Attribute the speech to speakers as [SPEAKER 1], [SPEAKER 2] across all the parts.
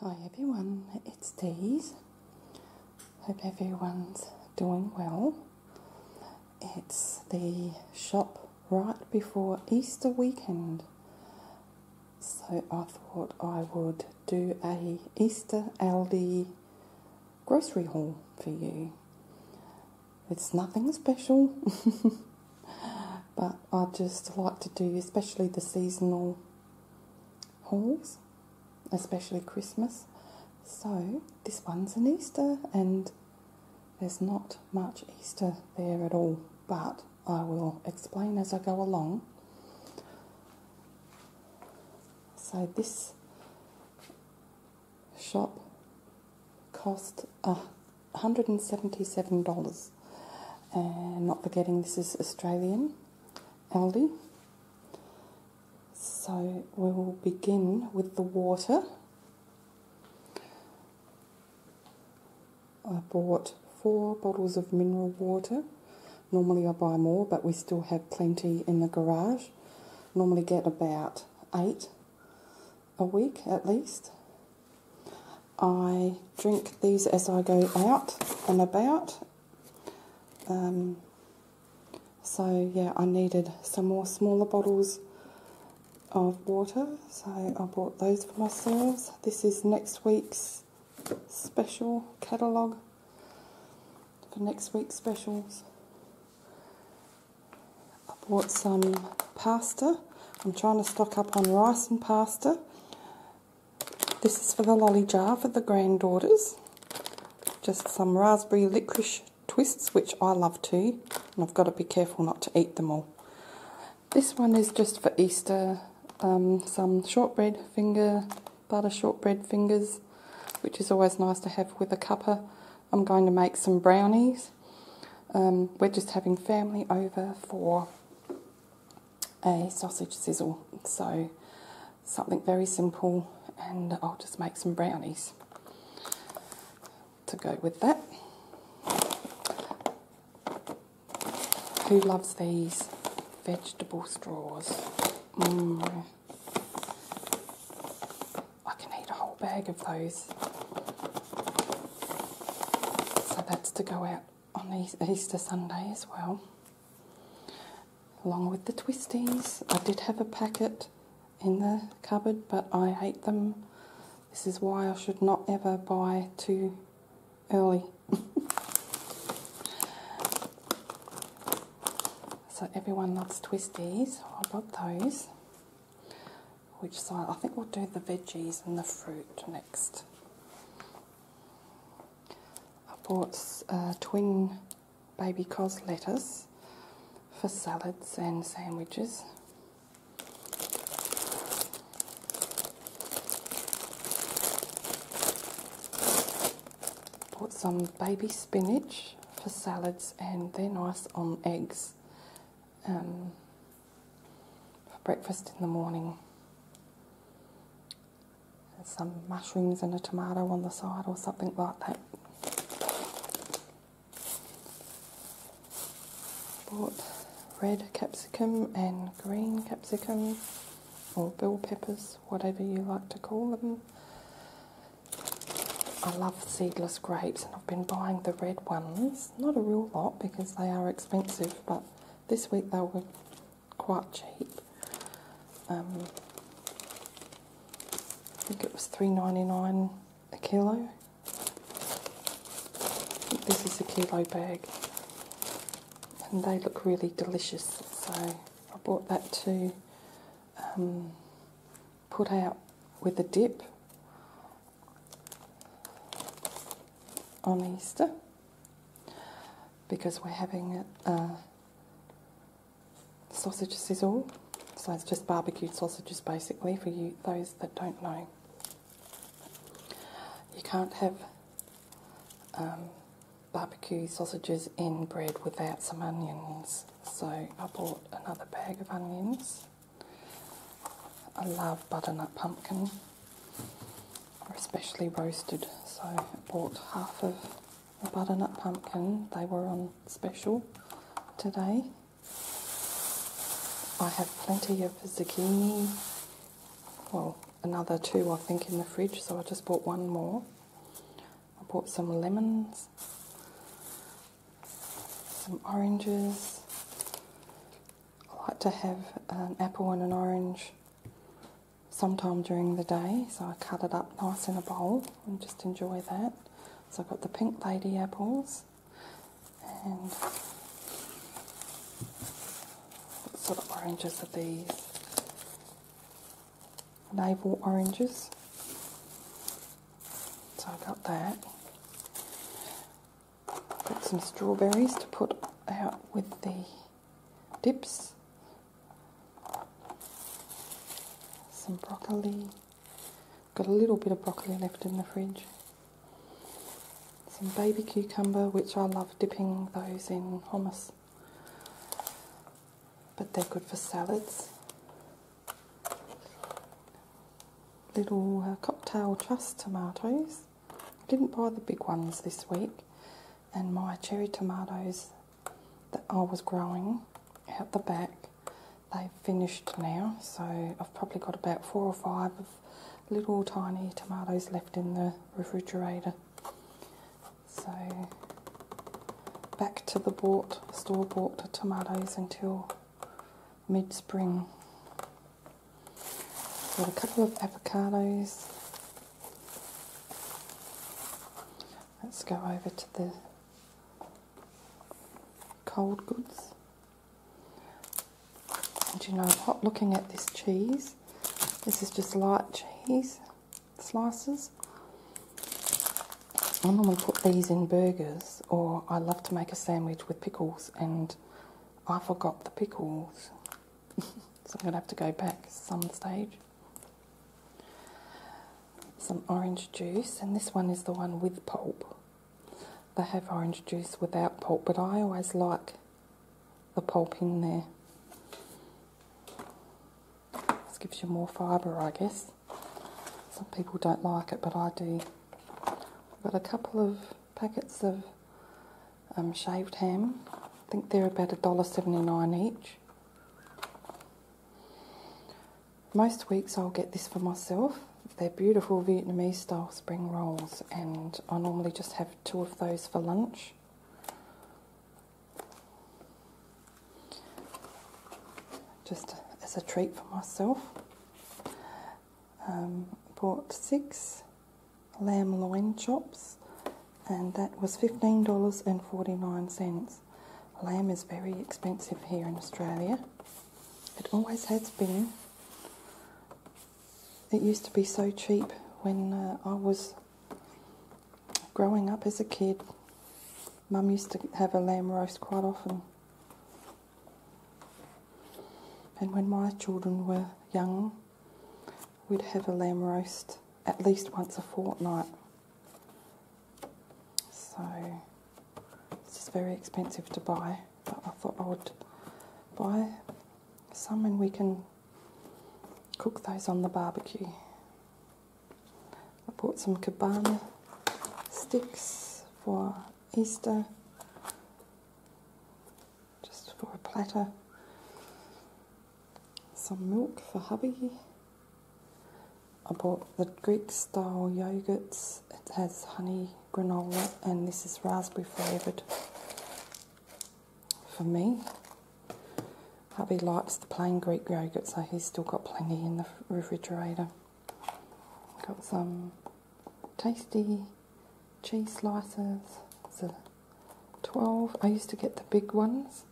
[SPEAKER 1] Hi everyone, it's Days. Hope everyone's doing well. It's the shop right before Easter weekend. So I thought I would do a Easter Aldi grocery haul for you. It's nothing special. but I just like to do especially the seasonal hauls especially Christmas so this one's an Easter and there's not much Easter there at all but I will explain as I go along so this shop cost a $177. And not forgetting this is Australian Aldi. So we will begin with the water. I bought four bottles of mineral water. Normally I buy more, but we still have plenty in the garage. Normally get about eight a week at least. I drink these as I go out and about. Um, so yeah, I needed some more smaller bottles of water, so I bought those for myself. This is next week's special catalogue for next week's specials. I bought some pasta I'm trying to stock up on rice and pasta. This is for the lolly jar for the granddaughters. Just some raspberry licorice twists, which I love too, and I've got to be careful not to eat them all. This one is just for Easter, um, some shortbread finger, butter shortbread fingers, which is always nice to have with a cuppa. I'm going to make some brownies. Um, we're just having family over for a sausage sizzle. So something very simple and I'll just make some brownies to go with that. Who loves these vegetable straws? Mm. I can eat a whole bag of those. So that's to go out on Easter Sunday as well. Along with the twisties, I did have a packet in the cupboard, but I ate them. This is why I should not ever buy too early. so everyone loves twisties. I love those. Which side? I think we'll do the veggies and the fruit next. I bought uh, twin baby cos lettuce for salads and sandwiches. Bought some baby spinach for salads and they're nice on eggs um, for breakfast in the morning. some mushrooms and a tomato on the side, or something like that. Bought red capsicum and green capsicum, or bell peppers, whatever you like to call them. I love seedless grapes, and I've been buying the red ones not a real lot because they are expensive, but this week they were quite cheap. Um, I think it was three ninety nine a kilo. This is a kilo bag, and they look really delicious. So I bought that to um, put out with a dip on Easter because we're having uh, sausage sizzle. So it's just barbecued sausages basically for you those that don't know. You can't have um, barbecue sausages in bread without some onions. So I bought another bag of onions I love butternut pumpkin, especially roasted. So I bought half of the butternut pumpkin. They were on special today. I have plenty of zucchini. Well, another two I think in the fridge, so I just bought one more. I bought some lemons some oranges. I like to have an apple and an orange sometime during the day, so I cut it up nice in a bowl and just enjoy that. So I've got the pink lady apples and what sort of oranges are these? Navel oranges. So I have got that. Got some strawberries to put out with the dips. Some broccoli. Got a little bit of broccoli left in the fridge. Some baby cucumber, which I love dipping those in hummus. But they're good for salads little uh, cocktail trust tomatoes. I didn't buy the big ones this week, and my cherry tomatoes that I was growing out the back, they've finished now. So I've probably got about four or five little tiny tomatoes left in the refrigerator. So back to the bought store bought tomatoes until mid-spring. Got a couple of avocados. Let's go over to the cold goods. And you know what, looking at this cheese, this is just light cheese slices. I normally put these in burgers, or I love to make a sandwich with pickles, and I forgot the pickles. so I'm going to have to go back some stage. Some orange juice, and this one is the one with pulp. They have orange juice without pulp, but I always like the pulp in there. This gives you more fibre, I guess. Some people don't like it, but I do. I've got a couple of packets of um, shaved ham. I think they're about $1.79 each. Most weeks I'll get this for myself. They're beautiful Vietnamese style spring rolls and I normally just have two of those for lunch just as a treat for myself. Um, bought six lamb loin chops, and that was $15.49. Lamb is very expensive here in Australia. It always has been. It used to be so cheap when uh, I was growing up as a kid. Mum used to have a lamb roast quite often. And when my children were young, we'd have a lamb roast at least once a fortnight. So it's just very expensive to buy, but I thought I would buy some and we can cook those on the barbecue. I bought some cabana sticks for Easter, just for a platter. Some milk for hubby. I bought the Greek style yogurts. It has honey, granola, and this is raspberry flavoured for me. Hubby likes the plain Greek yogurt, so he's still got plenty in the refrigerator. Got some tasty cheese slices. It's a 12. I used to get the big ones,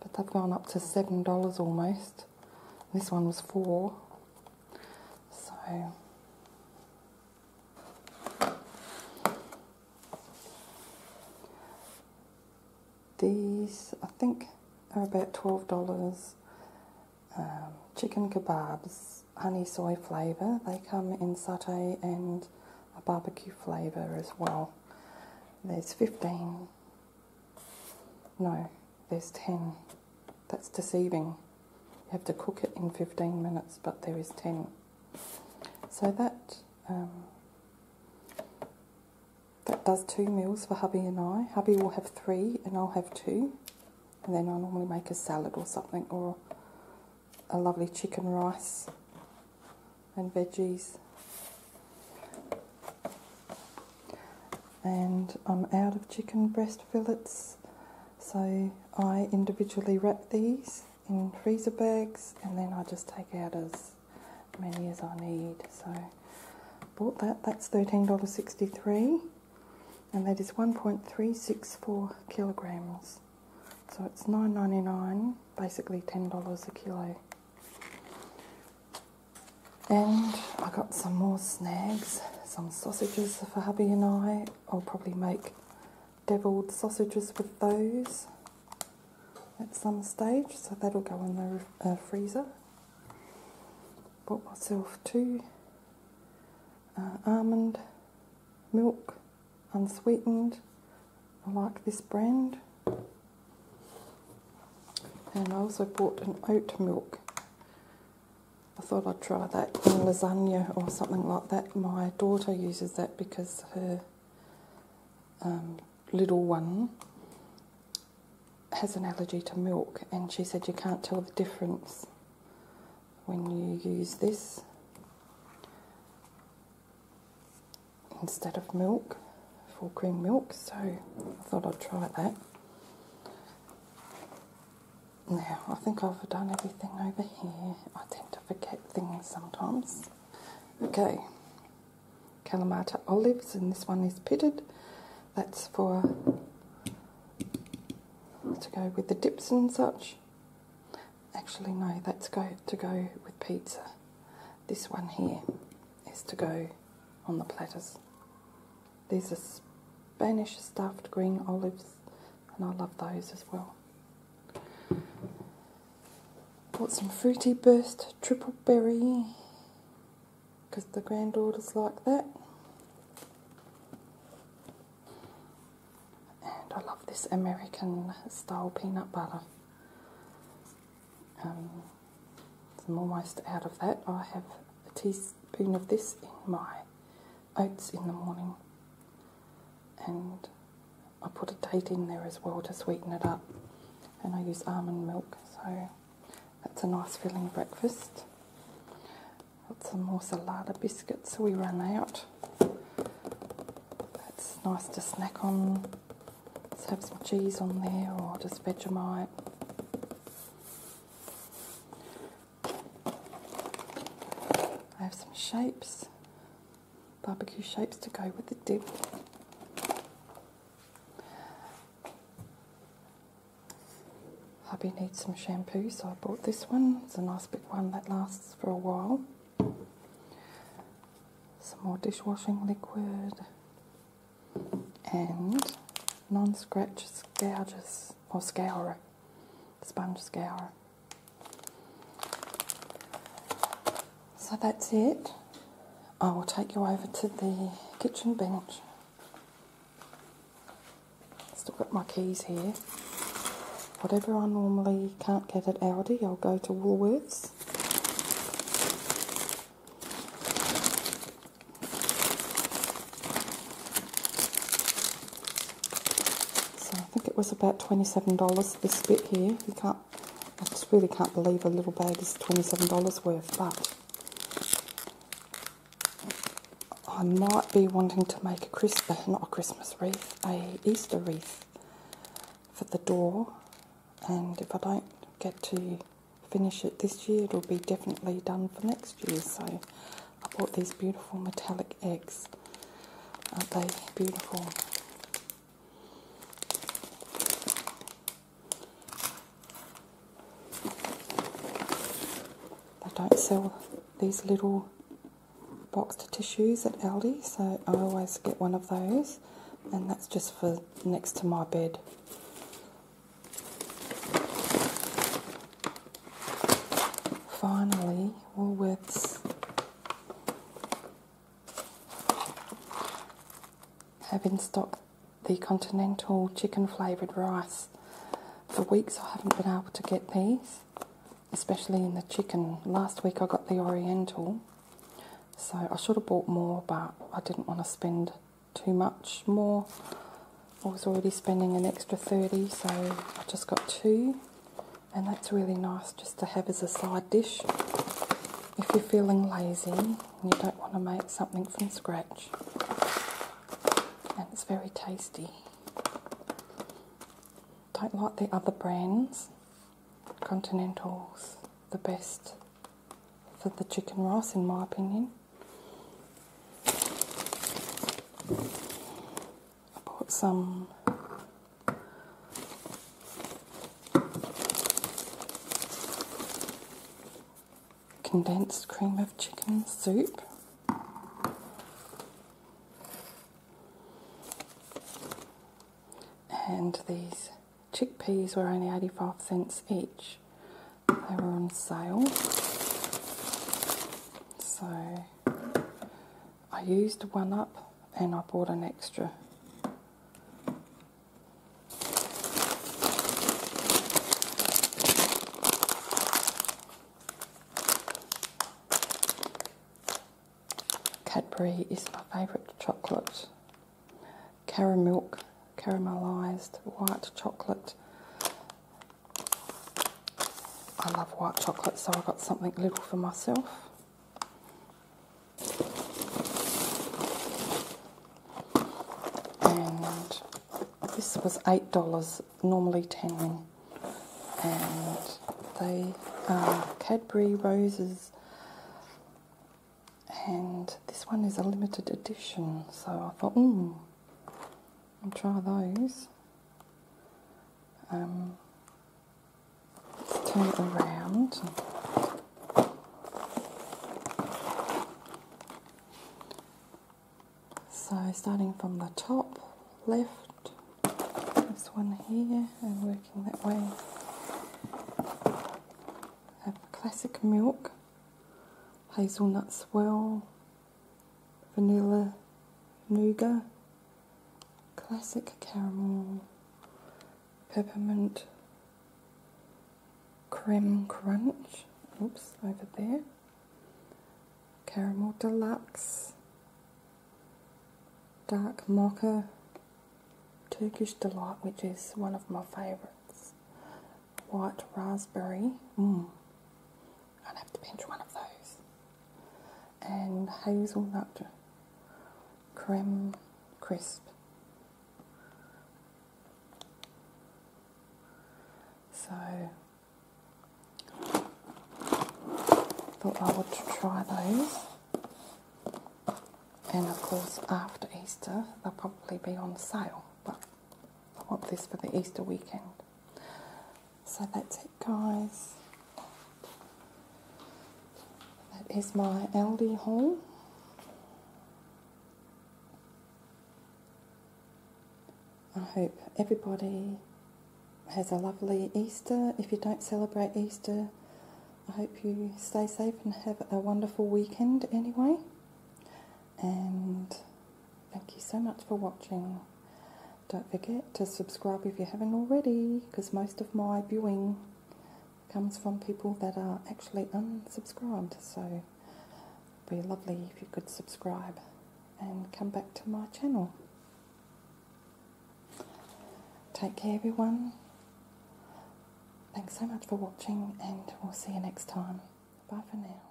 [SPEAKER 1] but they've gone up to $7 almost. This one was 4 So these, I think, are about $12. Um, chicken kebabs, honey soy flavour. They come in satay and a barbecue flavour as well. There's 15. No, there's 10. That's deceiving. You have to cook it in 15 minutes, but there is 10. So that um, that does two meals for hubby and I. Hubby will have three and I'll have two. And then I normally make a salad or something or a lovely chicken rice and veggies. And I'm out of chicken breast fillets, so I individually wrap these in freezer bags and then I just take out as many as I need. So bought that. That's $13.63 and that is 1.364 kilograms. So it's $9.99, basically $10 a kilo. And I got some more snags, some sausages for hubby and I. I'll probably make deviled sausages with those at some stage, so that'll go in the uh, freezer. Bought myself two uh, almond milk, unsweetened. I like this brand. And I also bought an oat milk. I thought I'd try that in lasagna or something like that. My daughter uses that because her um, little one has an allergy to milk, and she said you can't tell the difference when you use this instead of milk for cream milk. So I thought I'd try that. Now, I think I've done everything over here. I tend to forget things sometimes. Okay, Kalamata olives, and this one is pitted. That's for to go with the dips and such. Actually, no, that's go to go with pizza. This one here is to go on the platters. These are Spanish stuffed green olives, and I love those as well. Bought some Fruity Burst Triple Berry because the granddaughters like that. And I love this American style peanut butter. Um, I'm almost out of that. I have a teaspoon of this in my oats in the morning. And I put a date in there as well to sweeten it up. And I use almond milk, so that's a nice filling breakfast. Got some more salada biscuits we ran out. That's nice to snack on. Just have some cheese on there or just Vegemite. I have some shapes barbecue shapes to go with the dip. Hubby needs some shampoo, so I bought this one. It's a nice big one that lasts for a while. Some more dishwashing liquid and non-scratch scourges or scourer, sponge scourer. So that's it. I will take you over to the kitchen bench. Still got my keys here. Whatever I normally can't get at Aldi, I'll go to Woolworths. So I think it was about $27 this bit here. You can't I just really can't believe a little bag is $27 worth, but I might be wanting to make a Christmas, uh, not a Christmas wreath, a Easter wreath for the door. And if I don't get to finish it this year, it'll be definitely done for next year. So I bought these beautiful metallic eggs. Aren't they beautiful? They don't sell these little boxed tissues at Aldi, so I always get one of those, and that's just for next to my bed. Finally, Woolworths have in stock the continental chicken flavoured rice. For weeks I haven't been able to get these, especially in the chicken. Last week I got the oriental, so I should have bought more, but I didn't want to spend too much more. I was already spending an extra 30, so I just got two and that's really nice just to have as a side dish if you're feeling lazy and you don't want to make something from scratch. And it's very tasty. Don't like the other brands. Continental's the best for the chicken rice in my opinion. I bought some condensed cream of chicken soup. And these chickpeas were only 85 cents each. They were on sale. So I used one up and I bought an extra. Cadbury is my favourite chocolate. Caramel, caramelised white chocolate. I love white chocolate, so I got something little for myself. And this was $8, normally 10 And they are Cadbury Roses. And this one is a limited edition. So I thought, hmm, I'll try those. Um, turn it around. So starting from the top left, this one here, and working that way. Have classic milk, hazelnut swirl, vanilla nougat, classic caramel, peppermint, creme crunch, oops, over there, caramel deluxe, dark mocha, Turkish delight, which is one of my favorites, white raspberry, mm. I'll have to pinch one of those. And hazelnut creme crisp. So thought I would try those. And of course after Easter they'll probably be on sale, but I want this for the Easter weekend. So that's it, guys. That is my Aldi haul. I hope everybody has a lovely Easter. If you don't celebrate Easter, I hope you stay safe and have a wonderful weekend anyway. And thank you so much for watching. Don't forget to subscribe if you haven't already, because most of my viewing comes from people that are actually unsubscribed. So it'd be lovely if you could subscribe and come back to my channel. Take care, everyone. Thanks so much for watching, and we'll see you next time. Bye for now.